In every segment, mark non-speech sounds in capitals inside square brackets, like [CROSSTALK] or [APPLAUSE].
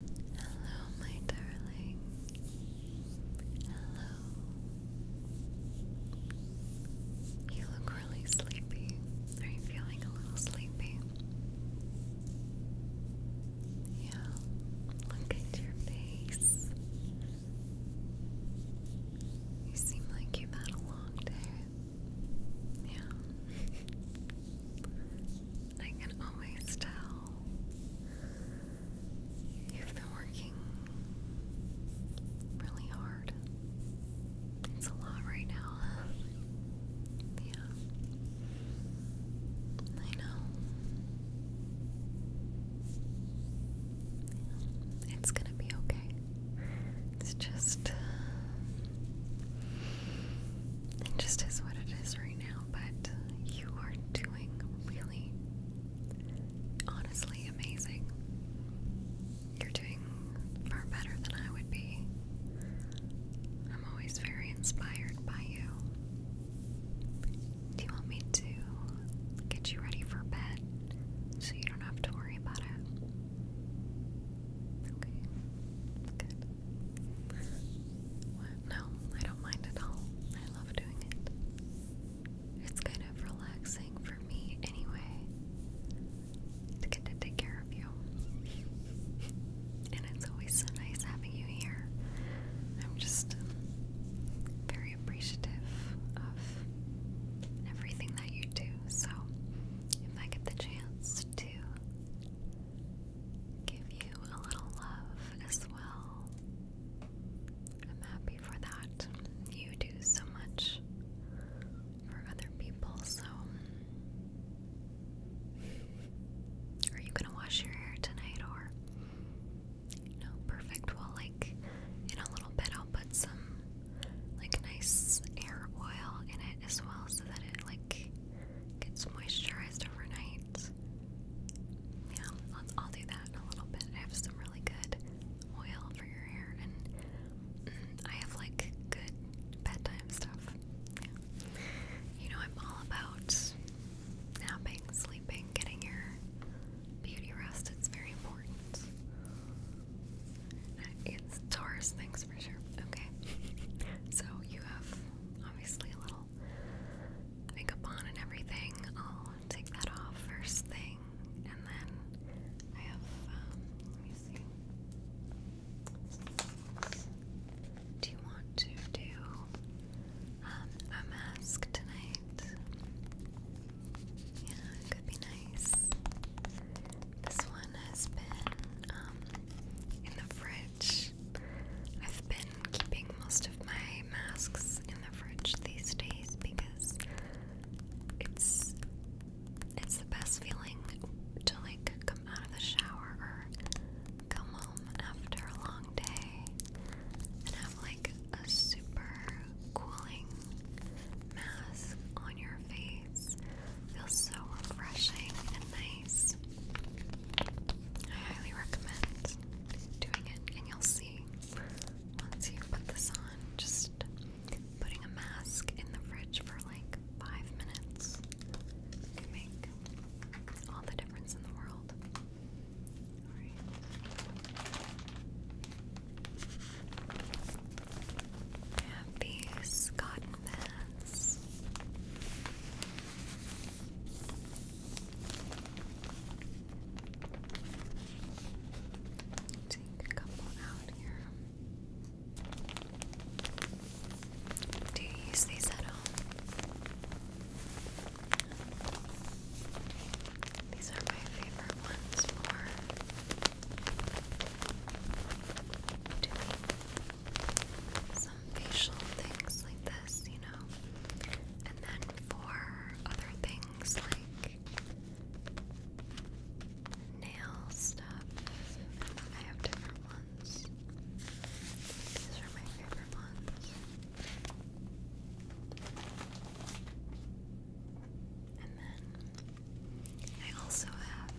Hello, my darling. Hello. You look really sleepy. Are you feeling a little sleepy? Yeah. Look at your face. You seem like you had a long day. Yeah. [LAUGHS] I can always tell you've been working really hard. It's a lot right now. [SIGHS] Yeah. I know. It's gonna be okay. It's just. Uh, it just is what it is right now but you are doing really honestly amazing. You're doing far better than I would be. I'm always very inspired by you. Do you want me to get you ready for bed so you don't have to worry about it? Okay, good. No, I don't mind at all. I love doing it. It's kind of relaxing for me anyway to get to take care of you. And it's always so nice having you here. I'm just very appreciative of everything that you do. So, if I get the chance to give you a little love as well. I'm happy for that. You do so much for other people, so. Are you gonna wash your hair tonight or? No, perfect. Well, like in a little bit, I'll put some like nice hair oil in it as well so that it like gets moisturized overnight. Yeah, I'll, i do that in a little bit. I have some really good oil for your hair, and I have like good bedtime stuff. You know, I'm all about napping, sleeping, getting your beauty rest. It's very important. It's Taurus for sure. Okay, [LAUGHS] so you have obviously a little makeup on and everything, I'll take that off first thing, and then I have, um, let me see. Do you want to do um, a mask tonight? Yeah, it could be nice. This one has been um, in the fridge I've been keeping most of my masks in the fridge these days because it's it's the best feeling to like come out of the shower or come home after a long day and have like a super cooling mask on your face. Feels so refreshing and nice. I highly recommend doing it, and you'll see once you put this on, just putting a mask in the fridge for like five minutes can make all the difference in the world. have these Scott this. Take a couple out here. Do you use these at all? These are my favorite ones for some facial things like this, you know. And then for other things like nail stuff, I have different ones. These are my favorite ones. And then I also have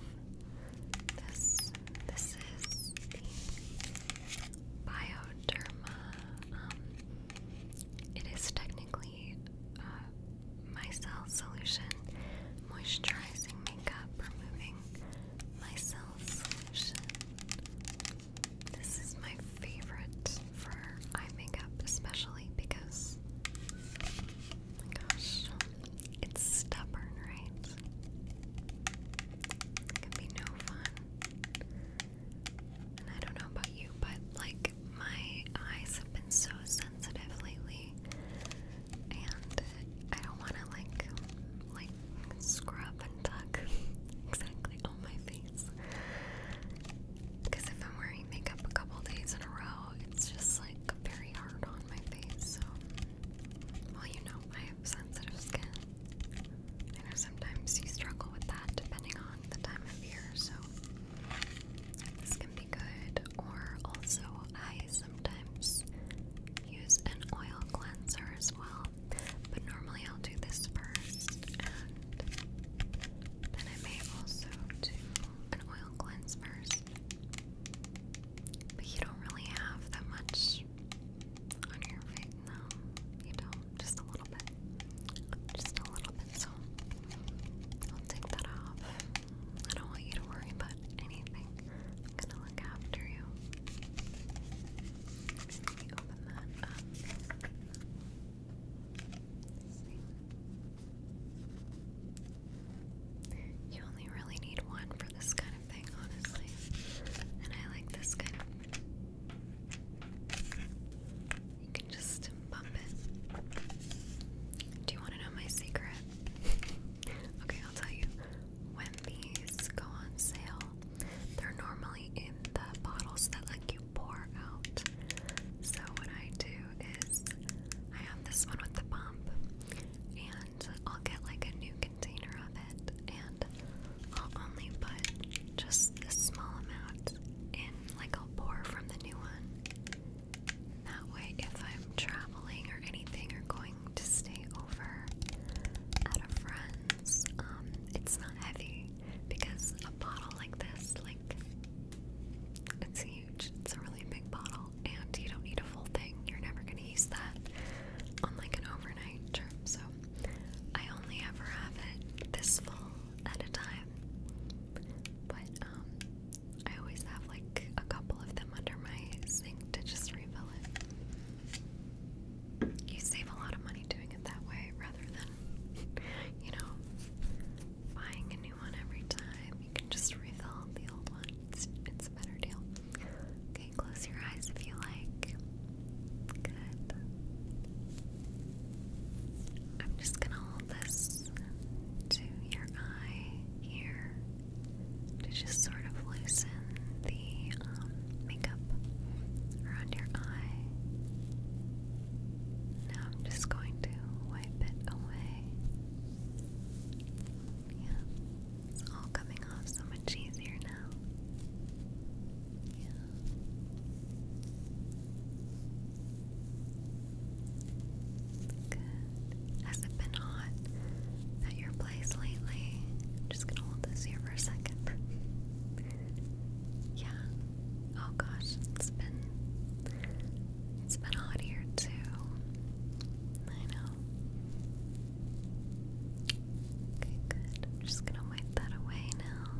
this this is the Bioderma. Um, it is technically uh, micelle solution moisturizing makeup, removing micelle solution. This is my favorite for eye makeup, especially because. Oh my gosh, it's stubborn, right? can be no fun. And I don't know about you, but like my eyes have been so sensitive lately, and I don't want to like like scrub and tuck [LAUGHS] exactly on my face. Because if I'm wearing makeup a couple days in a row, it's just like very hard on my face. So well, you know, I have sensitive skin. I know sometimes you struggle with that depending on the time of year, so this can be good. Or also, I sometimes use an oil cleanser as well, but normally I'll do this first, and then I may also do an oil cleanse first. But you don't really have that much on your face. No, you don't. Just a little bit. Just a little bit. So I'll take that off. I don't want you to worry about anything. I'm gonna look after you. Let me open that up. You only really need one for this kind thing, honestly. And I like this kind of. You can just bump it. Do you want to know my secret? [LAUGHS] okay, I'll tell you. When these go on sale, they're normally in the bottles that like you pour out. So what I do is I have this one with the pump, and I'll get like a new container of it, and I'll only put just this small amount in, like I'll pour from the new one. That way, if I'm traveling or anything or going to stay over at a friend's, um, it's not heavy because a bottle like this, like, it's huge. It's a really big bottle and you don't need a full thing. You're never going to use that on like an overnight trip. So I only ever have it this full at a time. But um, I always have like a couple of them under my sink to just refill it. You save a lot of money doing it that way rather than [LAUGHS] you know buying a new one every time. You can just refill the old one. It's, it's a better deal close your eyes if you like. Good. I'm just gonna hold this to your eye here to just sort of loosen the um, makeup around your eye. Now I'm just going to wipe it away. Yeah, it's all coming off so much easier now. Yeah. Has it been hot at your place lately? just gonna hold this here for a second. yeah. Oh gosh, it's been it's been hot here too. I know. Okay, good. I'm just gonna wipe that away now.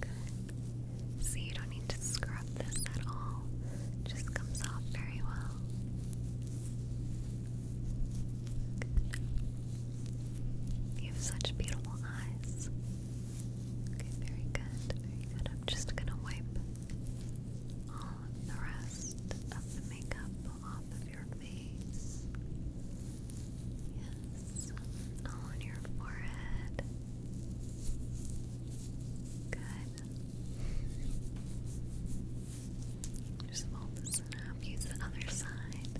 Good. See, you don't need to scrub this at all. just comes off very well. Good. You have such beautiful eyes. Okay, very good, very good. I'm just gonna wipe all the rest of the makeup people off of your face. Yes, all on your forehead. Good. Just fold this up. Use the other side.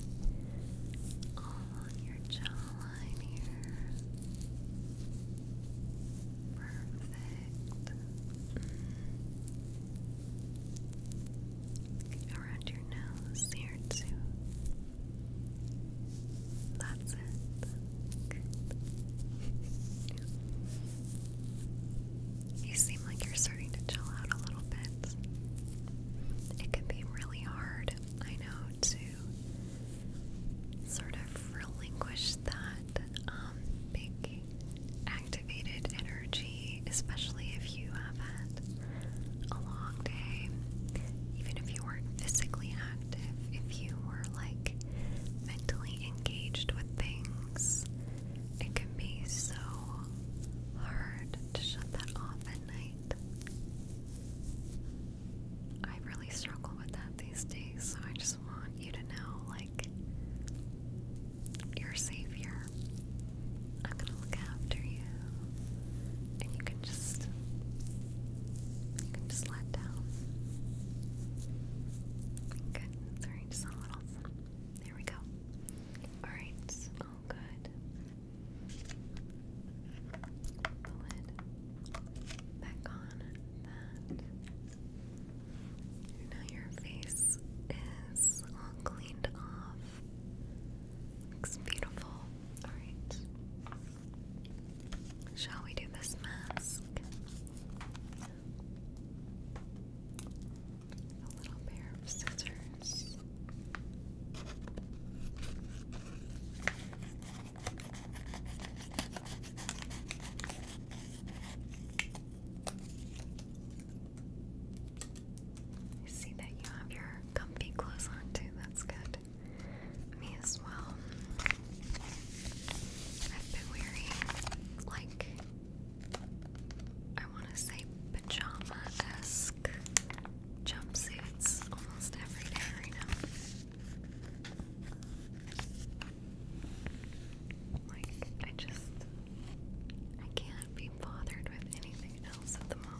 All on your jawline here. Perfect around your nose here too. That's it. you seem like you're starting to chill out a little bit. It can be really hard, I know, to sort of relinquish that um, big activated energy, especially if you have had a long day. Even if you weren't physically active, if you were like mentally engaged with things, it can be so hard to shut that off at night. I really struggle with that these days, so I just want you to know like your savior. I'm gonna look after you. And you can just you can just let down. Good. Sorry, just a little. There we go. Alright. Oh good. The lid back on that. Now your face is all cleaned off. Looks beautiful. Alright. Shall we do this mask? A little pair of scissors. I see that you have your comfy clothes on too. That's good. Me as well. I've been wearing like I want to say pajama-esque jumpsuits almost every day right now. Like, I just, I can't be bothered with anything else at the moment.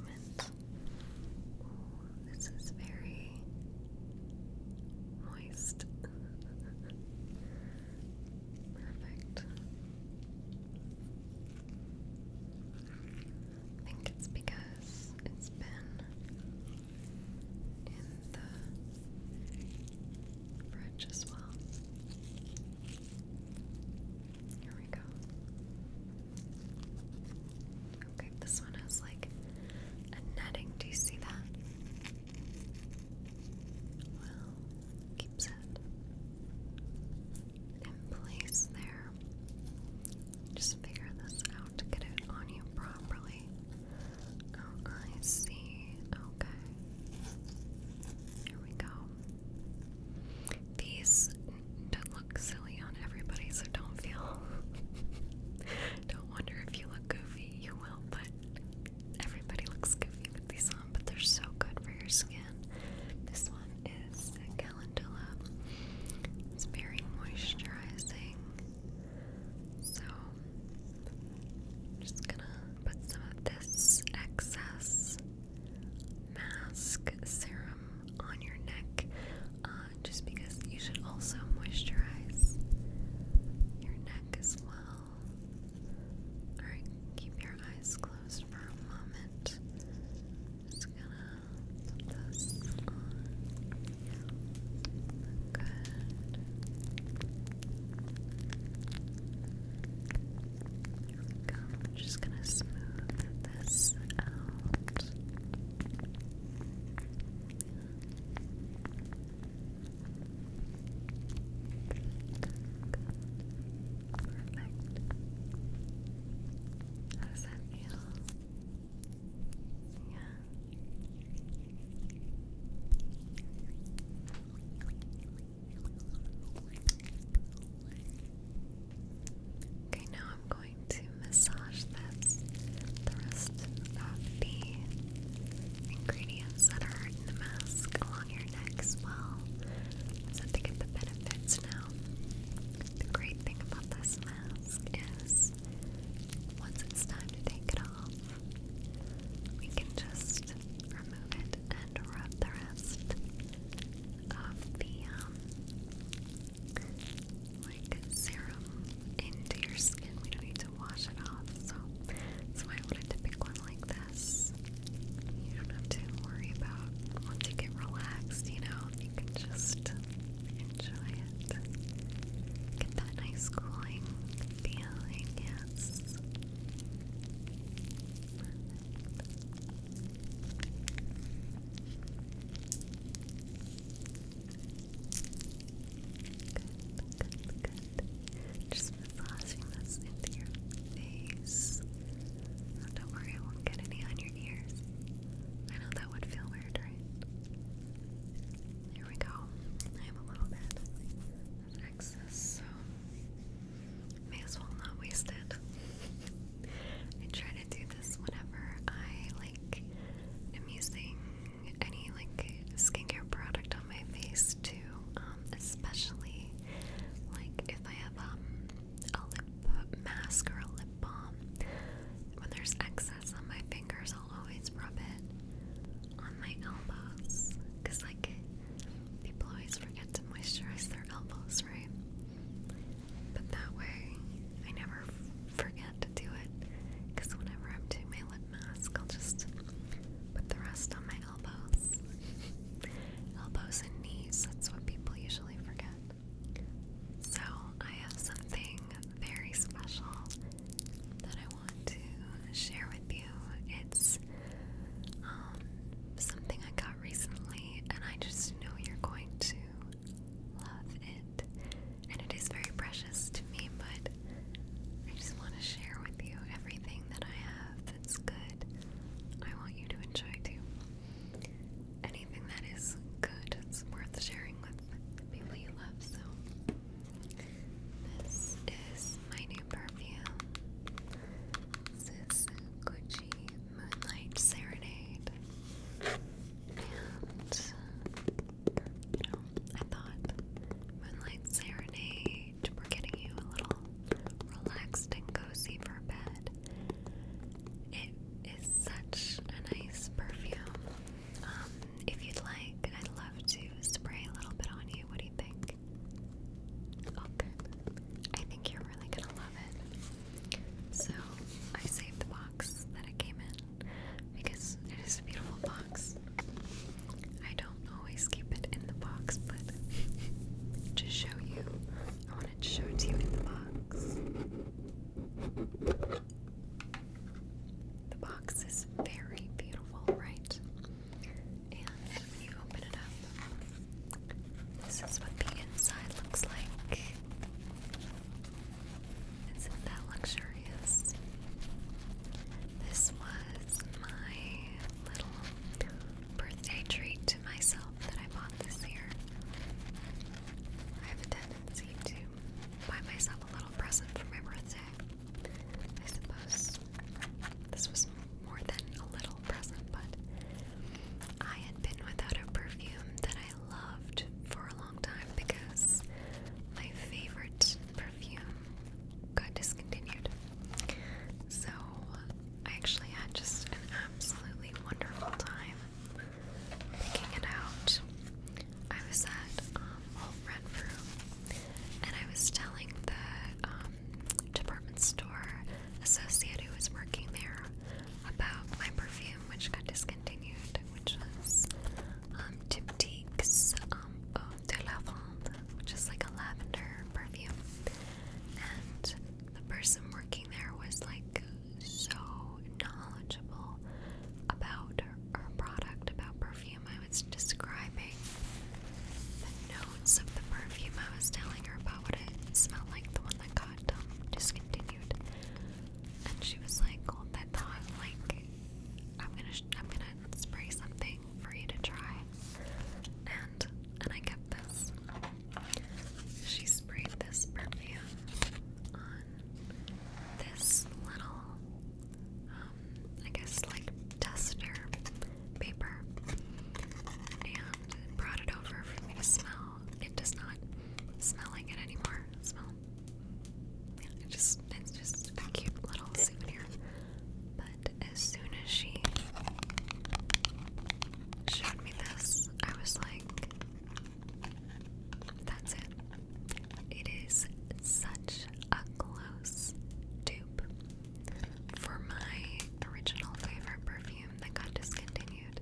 this is very moist. [LAUGHS] Perfect. I think it's because it's been in the French as well. Here we go. Okay, this one has like a netting. Do you see that? Well, keeps it in place there. Just figure this out to get it on you properly. Oh, I see. Okay. Here we go. These don't look silly on everybody, so don't feel. [LAUGHS] don't wonder if you look goofy. You will, but everybody looks goofy with these on, but they're so good for your skin. This one is a calendula. It's very moisturizing. So just gonna put some of this excess mask serum on your neck uh, just because you should also moisturize your neck as well. Alright, keep your eyes closed for a moment. Just gonna put this on. Good. There we just gonna smooth this out. Um, Perfect. How does that feel? Yeah. Okay, now I'm going to massage this, the rest of the ingredients that are in the mask along your neck as well, so to get the benefits now. The great thing about this mask is once it's time to take it off, we can just remove it and rub the rest of the um, like serum into your skin. We don't need to wash it off, so that's why I wanted to pick one like this. You don't have to worry about once you get relaxed, you know, you can just enjoy it. Get that nice cooling feeling, yes. Good, good. Just massaging this into your face. Oh, don't worry, I won't get any on your ears. I know that would feel weird, right? Here we go. I'm a little bit Excess, so may as well not waste it. I try to do this whenever I like am using any like skincare product on my face too, um, especially like if I have um, a lip mask or a lip balm. When there's excess on my fingers, I'll always rub it on my elbows because like People always forget to moisturize their elbows, right? But that way, I never forget to do it. Because whenever I'm doing my lip mask, I'll just put the rest on my elbows. [LAUGHS] elbows and knees, that's what people usually forget. So, I have something very special that I want to share with you. It's um, something I got recently, and I just know you're going to love it. And it is very precious to me, but I just want to share with you everything that I have that's good. I want you to enjoy too. Anything that is good, it's worth sharing with the people you love. So this is my new perfume. This is Gucci Moonlight Serenade. And, you um, know, I thought Moonlight Serenade, we getting you a little relaxed and cozy for bed. It is such a nice perfume. Um, if you'd like, I'd love to spray a little bit on you. What do you think? Oh, I think you're really gonna love it. So, I saved the box that it came in because it is a beautiful box. I don't always keep it in the box, but to show you, I wanted to show it to you in the box. The box is very beautiful, right? And when you open it up, this is what the inside looks like. Isn't that luxurious? This was my little birthday treat to myself that I bought this year. I have a tendency to buy myself a little present for my birthday. I suppose this was more than a little present, but I had been without a perfume that I loved for a long time because my favorite perfume got discontinued. So I actually had just an absolutely wonderful time picking it out. I was sad um, all front room, and I was telling the um, department store associate who was working there about my perfume, which got discontinued, which was um, Diptyque's um, Eau de Lavande, which is like a lavender perfume, and the person working there was like so knowledgeable about her product, about perfume I was describing, the notes of the perfume I was telling her about what it smelled like, the one that got um, discontinued. And she was like, "Hold that thought, like I'm gonna, I'm gonna spray something for you to try." And and I kept this. She sprayed this perfume on this little um, I guess like tester paper and brought it over for me to smell. It does not smell like it anymore. Smell. Yeah, it just it's just a cute little souvenir. But as soon as she showed me this, I was like, that's it. It is a close dupe for my original favorite perfume that got discontinued.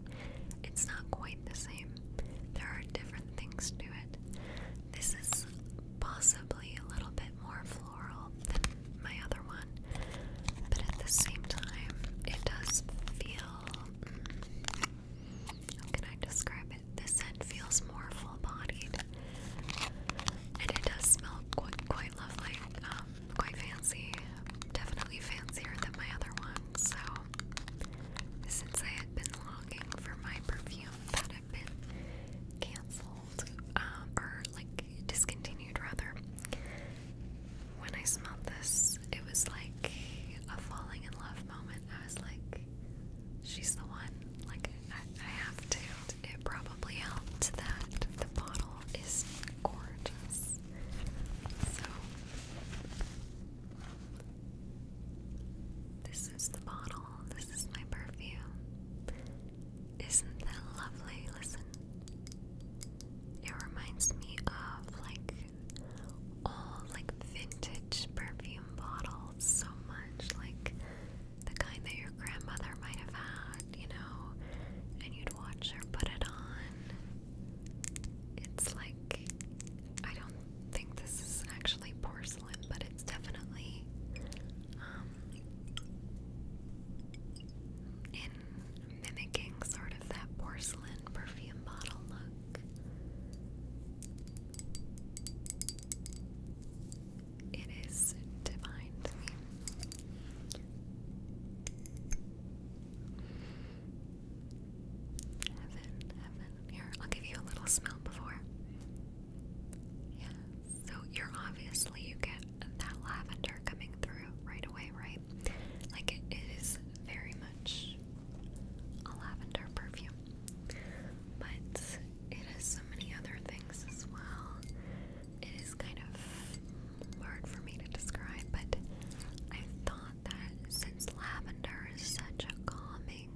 It's not quite the same. There are different things to it. This is possibly a little bit more floral than my other one, but at the same time, it does feel. Mm, how can I describe it? The scent feels more full bodied and it does smell quite, quite lovely, um, quite fancy, definitely fancier than my other ones. So, since I had been longing for my perfume that had been cancelled, um, or like discontinued rather, when I smelled this, it was like a falling in love moment. I was like, she's the one. Like, I, have to. It probably helped that the bottle is gorgeous. So, this is the bottle. This is my perfume. Isn't that lovely? Listen. It reminds me of like old like vintage perfume bottles so much like the kind that your grandmother might have had, you know, and you'd watch her put it on. It's like, I don't think this is actually porcelain, but it's definitely um, in mimicking sort of that porcelain perfume bottle look it is divine Heaven, heaven. Here, I'll give you a little smell before. Yeah, so you're obviously, you get that lavender coming through right away, right? Like it is very much a lavender perfume but it has so many other things as well. It is kind of hard for me to describe, but I thought that since lavender is such a calming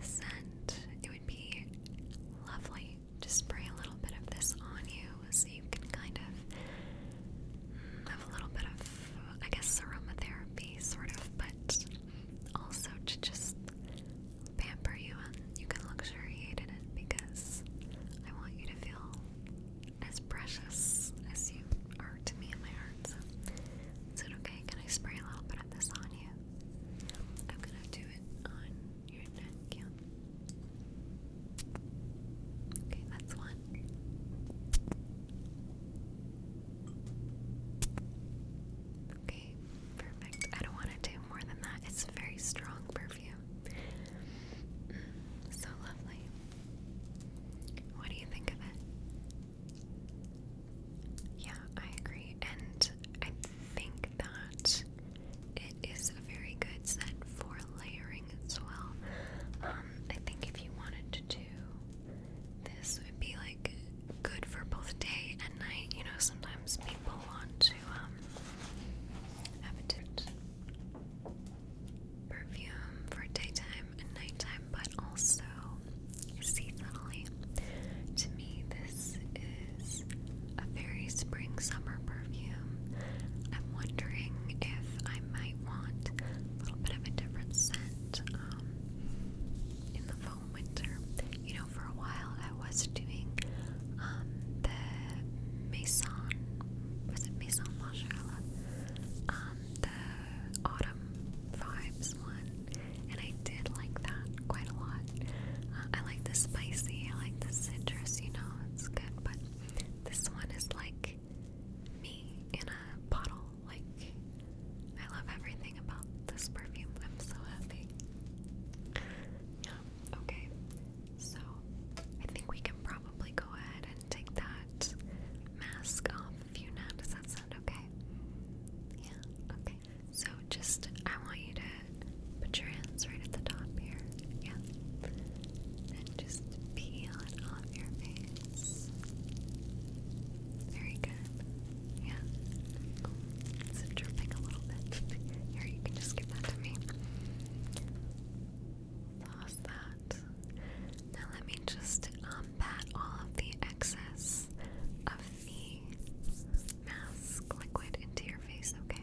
scent, it would be lovely to spray a little bit of this on you so you can kind of mm, have a little bit of, I guess, aromatherapy, sort of, but also to just pamper you and you can luxuriate in it because I want you to feel as precious as you are to me in my heart. So, is it okay? Can I spray a little bit of this on you? I'm gonna do it on your neck, yeah. Okay, that's one. Okay, perfect. I don't want to do more than that. It's a very strong perfume. Mm, so lovely. What do you think of it? Yeah, I agree. And I think that it is a very good set for layering as well. Um, I think if you wanted to this, would be like good for both day and night. You know, sometimes people want to um, have a different perfume for daytime and nighttime, but also seasonally. To me, this is a very spring summer perfume. I'm wondering if I might want a little bit of a different scent um, in the winter. You know, for a while I was doing um, the Maison, was it Maison Margiela? Um, the autumn vibes one, and I did like that quite a lot. Uh, I like the spicy, I like the citrus, you know, it's good, but this one is like me in a bottle. Like, I love everything about this perfume. I'm so happy. Yeah, okay. So I think we can probably go ahead and take that mask off of you now. Does that sound okay? Yeah, okay. So just I want you to put your hands right at the top here. Yeah. And just peel it off your face. Very good. Yeah. Cool. dripping a little bit? Here, you can just give that to me. Pause that. Now let me just um, pat all of the excess of the mask liquid into your face, okay?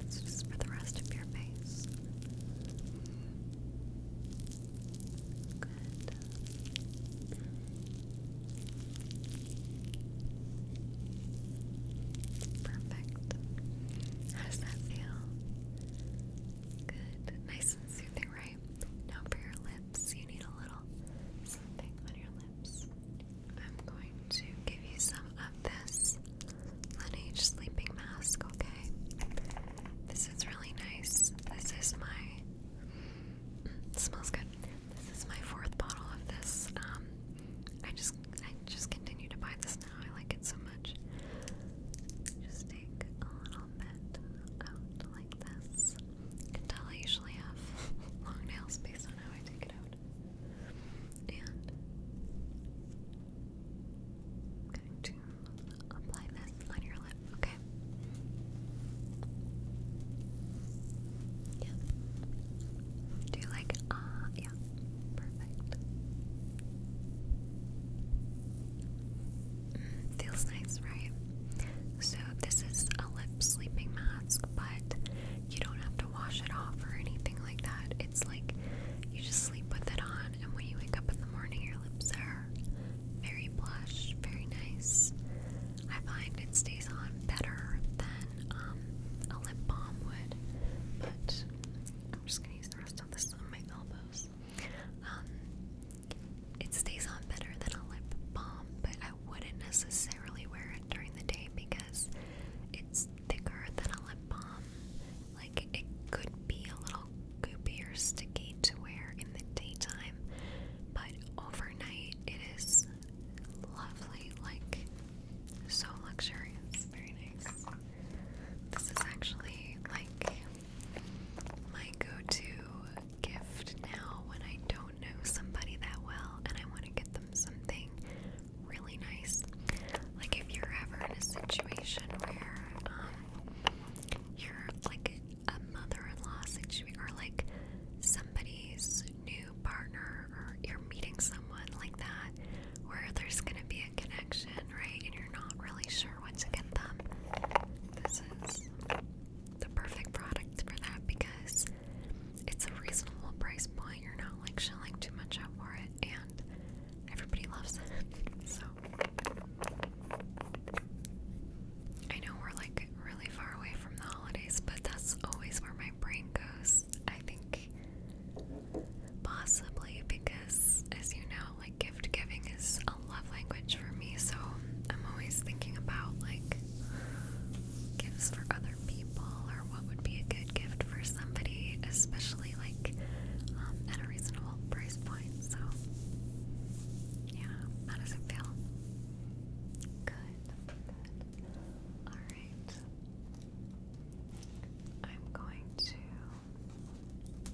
It's just for the rest of your face. Good. Perfect. How that feel? Good. Nice and soothing, right? Now for your lips, you need a little something on your lips. I'm going to give you some of this Laneige sleeping mask, okay? This is really nice. This is my smells good. This is my fourth bottle of this. Um I just I just continue to buy this now. I like it so much. Just take a little bit out like this. You can tell I usually have [LAUGHS] long nails based on how I take it out. And I'm going to apply this on your lip, okay? Yeah. Do you like, uh, yeah, perfect. feels nice, right? So, this is a lip sleeping mask, but you don't have to wash it off or anything like that. It's like you just sleep with it on, and when you wake up in the morning, your lips are very blush, very nice. I find it stays on better than um, a lip balm would, but I'm just gonna use the rest of this on my elbows. Um, it stays on better than a lip balm, but I wouldn't necessarily wear it during the day because it's thicker than a lip balm. Like it could be a little goopy or sticky to wear in the daytime, but overnight it is lovely, like so luxurious. Very nice. This is actually like my go-to gift now when I don't know somebody that well and I want to get them something really nice. Like if you're ever in a situation where um, you're like a mother-in-law situation or like somebody's new partner or you're meeting someone like that where there's gonna be a connection, right? And you're not really sure what to get them. This is the perfect product for that because it's a reasonable price point. You're not like shelling too much out for it, and everybody loves it. [LAUGHS] so I know we're like really far away from the holidays, but that's always where my brain goes. I think possibly because, as you know, like gift giving is a love language for me, so I'm always thinking about like gifts for other other people or what would be a good gift for somebody, especially like um, at a reasonable price point. So, yeah, how does it feel? Good, good. All right. I'm going to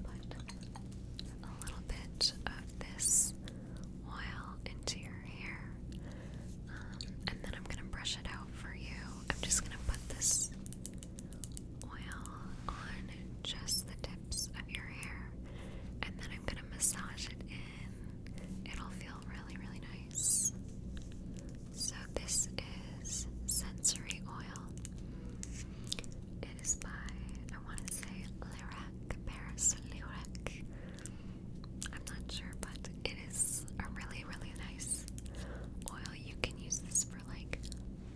put a little bit of this oil into your hair. Um, and then I'm gonna brush it out for you. I'm just gonna put this oil on just the tips of your hair, and then I'm gonna massage it in. It'll feel really, really nice. So, this is sensory oil. It is by, I want to say, Lyric, Paris Lyric. I'm not sure, but it is a really, really nice oil. You can use this for like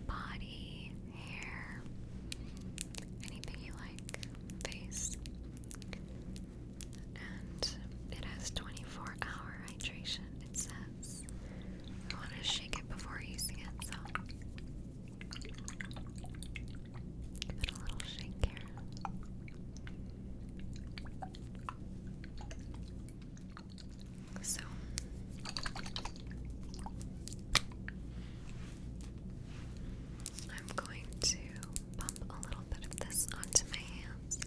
body, hair, anything you like, face. And it has 24 hour hydration, it says. I want to shake it before using it, so. Give it a little shake here. So I'm going to pump a little bit of this onto my hands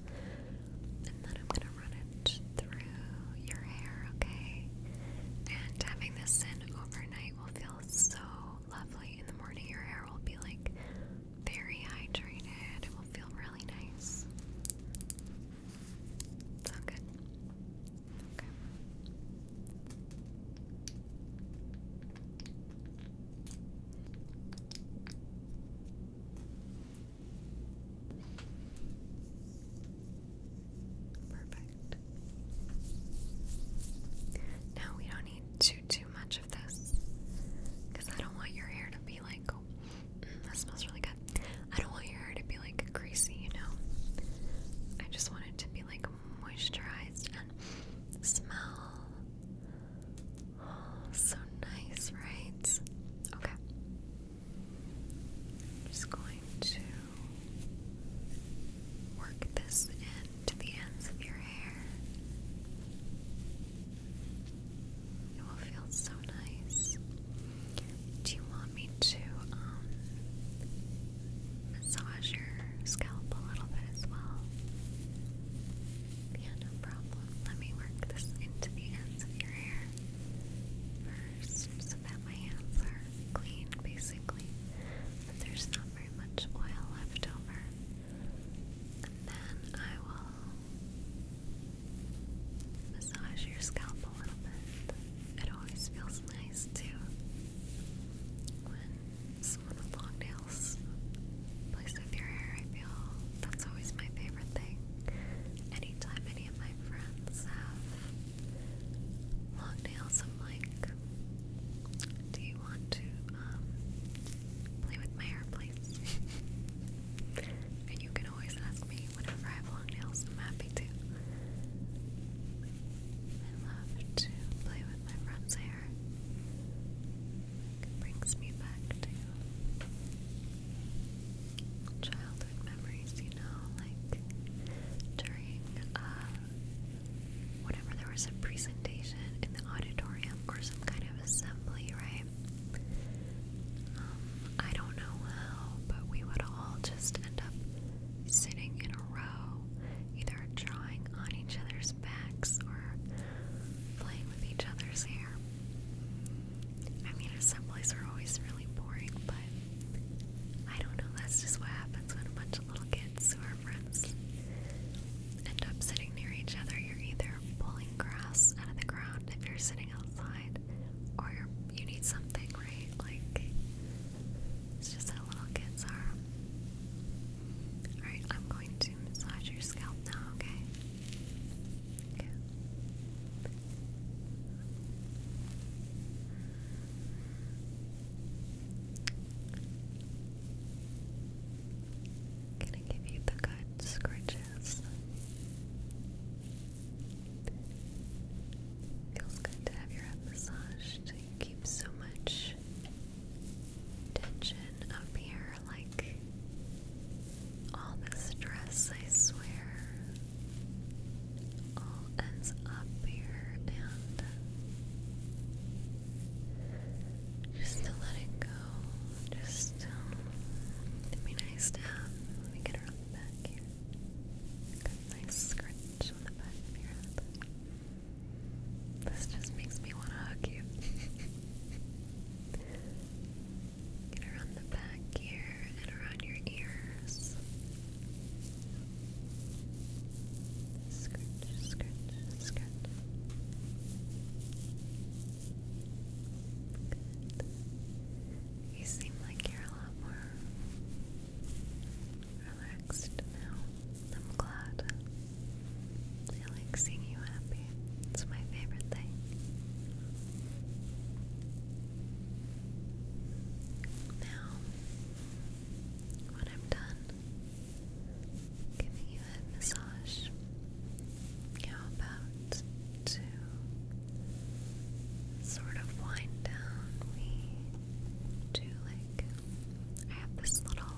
and then I'm going to run it through your hair, okay? And having this in overnight will feel so lovely in the morning. Your hair will be like very hydrated. It will feel really nice. Sound good? Okay. Perfect. Now we don't need too too much of this because I don't want your hair to be like, mm, that smells really good. I don't want your hair to be like greasy, you know. I just want it to be like moisturized and smell so nice, right? Okay. just going to work this into the ends of your hair. It will feel so nice. Do you want me to um, massage your scalp a little bit as well? no problem. Let me work this into the ends of your hair first so that my hands are clean basically. there's not very much oil left over. And then I will Massage your scalp a little bit. It always feels nice too when someone with long nails plays with your hair. I feel that's always my favorite thing. Anytime any of my friends have long nails, I'm like, "Do you want to um, play with my hair, and you can always ask me whenever I have long nails, I'm happy to. I love to play with my friend's hair. It brings me back to childhood memories, you know, like during uh, whenever there was a presentation in the auditorium or some kind of assembly, right? Um, I don't know how, but we would all just end up sitting in a row, either drawing on each other's backs or playing with each other's hair. I mean, assemblies are always really boring, but I don't know, that's just what happens when a bunch of little kids who are friends end up sitting near each other. You're either pulling grass out of the ground if you're sitting outside, or you're, you need something, right? Like, it's just how little kids are. Alright, I'm going to massage your scalp now, okay? Okay. Gonna give you the good scratches. Feels good to have your head massaged. You so much tension up here, like all the stress, I swear, all ends up here and just to let it go. Just, um, it nice to Let me get her the back here. nice scratch on the back of This just makes me want to hug you. [LAUGHS] get her the back here and around your ears. Scratch, scratch, scratch. You seem like you're a lot more relaxed now. I'm glad. I like seeing you happy. It's my favorite thing. Now, when I'm done, giving you a head massage. How about to sort of wind down? We do like I have this little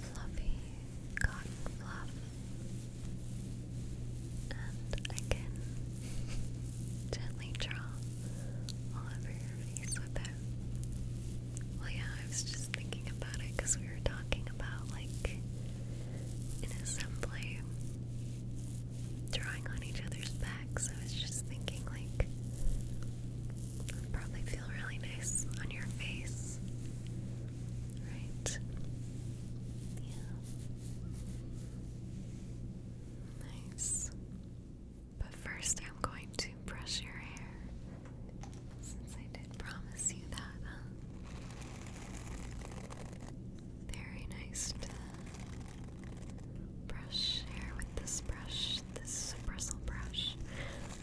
fluffy cotton fluff, and I can gently draw all over your face with it. Well, yeah, I was just thinking about it because we were talking about like an assembly drawing on each other's backs. I was just thinking, like, probably feel really nice on your face, right? Yeah. Nice. But first, I'm going to brush your hair. Since I did promise you that, huh? Very nice to brush hair with this brush, this bristle brush.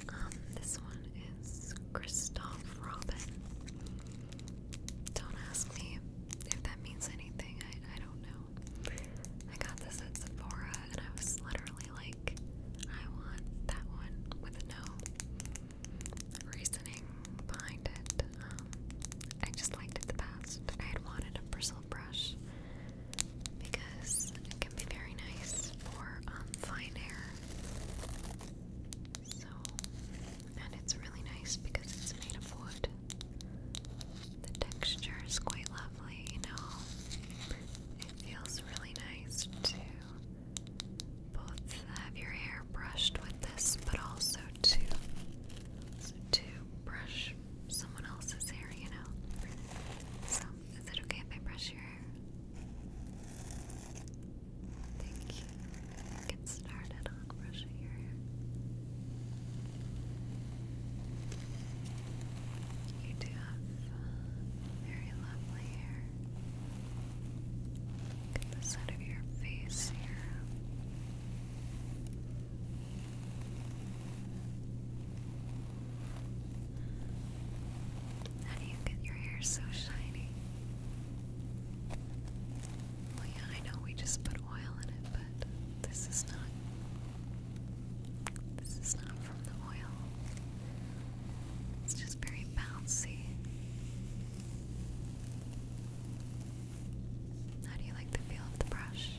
Um, this one is Christoph Robin. Don't ask me if that means anything, I, I don't know. I got this at Sephora and I was literally like, I want that one with no reasoning behind it. Um, I just liked it the best. I had wanted a bristle brush because it can be very nice for um, fine hair. So, and it's really nice because it's made of wood. The texture is quite lovely, you know. It feels really nice to both have your hair brushed with this, but also to to brush someone else's hair, you know. So, is it okay if I brush your hair? Thank you. Get started on brushing your hair. You do have very lovely hair. Look at the side of your face here. How do you get your hair so shiny? Well, yeah, I know we just put oil in it, but this is not. This is not from the oil. It's just very bouncy. How do you like the feel of the brush?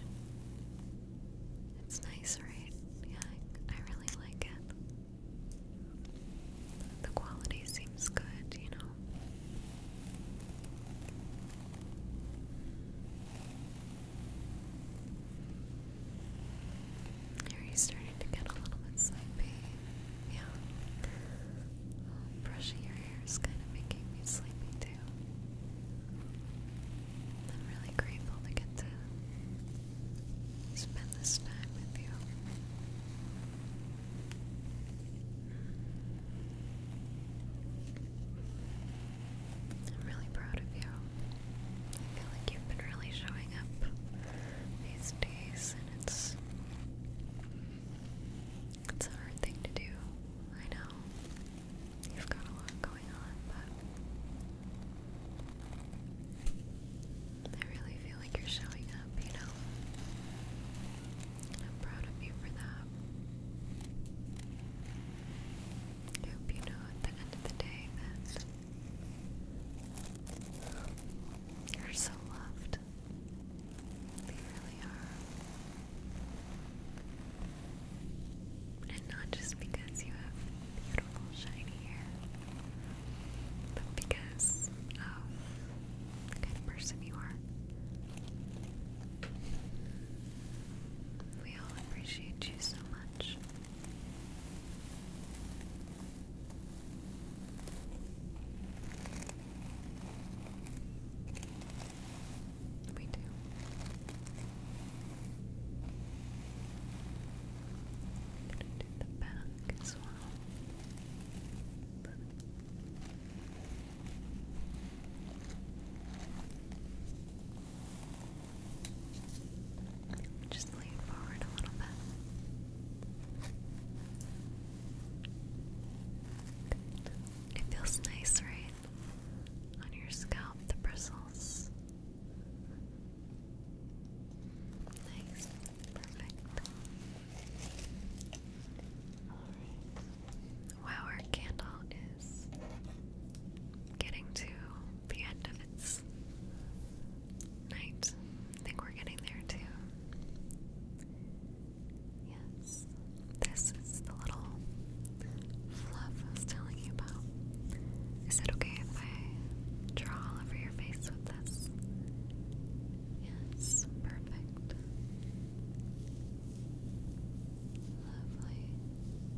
It's nice, right? Yeah, I, really like it. The quality seems good, you know. Are you starting to get a little bit sleepy? Yeah. brushing your hair is kind of making me sleepy too. I'm really grateful to get to spend this time with you. I'm really proud of you. I feel like you've been really showing up these days, and it's it's a hard thing to do. I know you've got a lot going on, but I really feel like you're showing up. You know, I'm proud of you for that. I hope you know at the end of the day that you're so loved. You really are. And not just because you have beautiful, shiny hair, but because of the kind of person you are. We all appreciate you so much. We do. do the back as well. Perfect. Just lean forward a little bit. It feels nice, right? On your scalp, the bristles. Nice. Perfect. Wow, our candle is getting to the end it's night. I think we're getting there too. Yes, this is the little fluff I was telling you about. Is it okay if I draw all over your face with this? Yes, perfect. Lovely.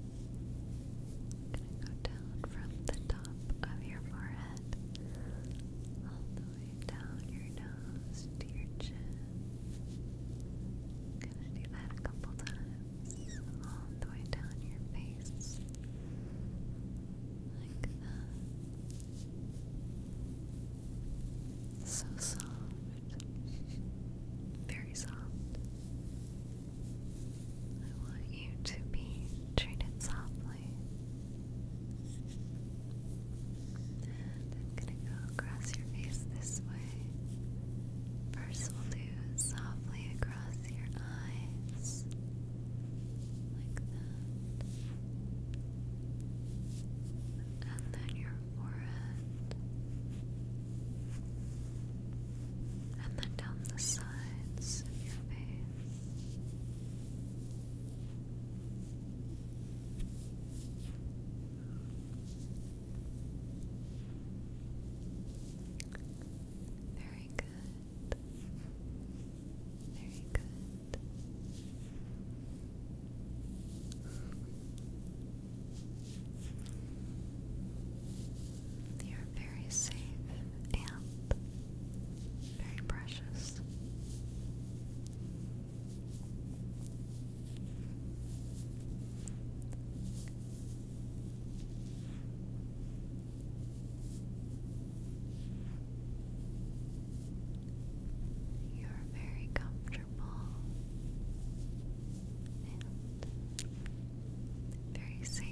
I'm gonna go down from the top of your forehead all the way down your nose to your chin. I'm gonna do that a couple times all the way down your face. Like that. So soft. Very soft. I want you to be treated softly. I'm going to go across your face this way. First, we'll do softly across your eyes, like that, and then your forehead, and then down the sides sides of Very good. Very good. You're very safe and very precious. You're very comfortable and very safe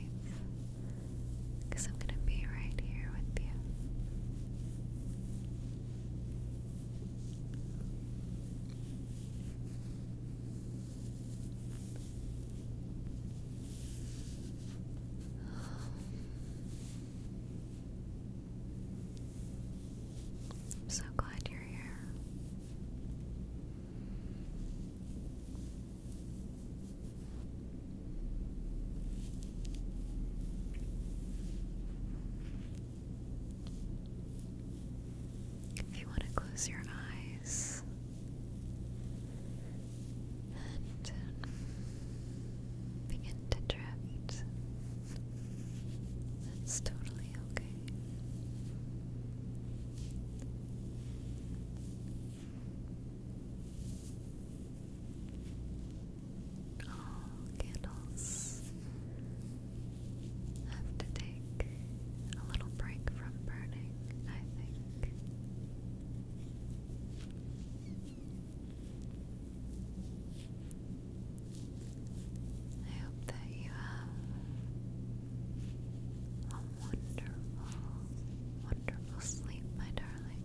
because I'm going to be right here with you. [SIGHS] I'm so glad you're here. If you want to close your eyes and um, begin to drift, that's totally okay. All candles have to take a little break from burning, I think. I hope that you have wonderful, wonderful sleep, my darling.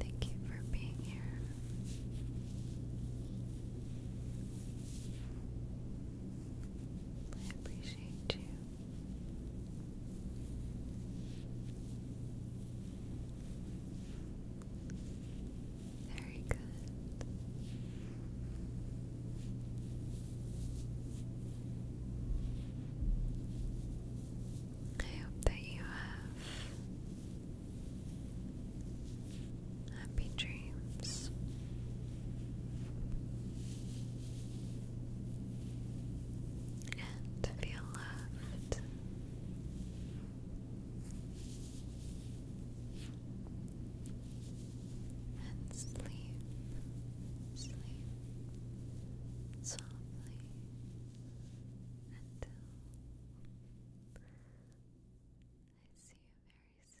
Thank you for being here. I appreciate you. Very good. I hope that you have happy dreams. And feel loved that. And sleep, sleep softly until I see you very soon. Good my darling.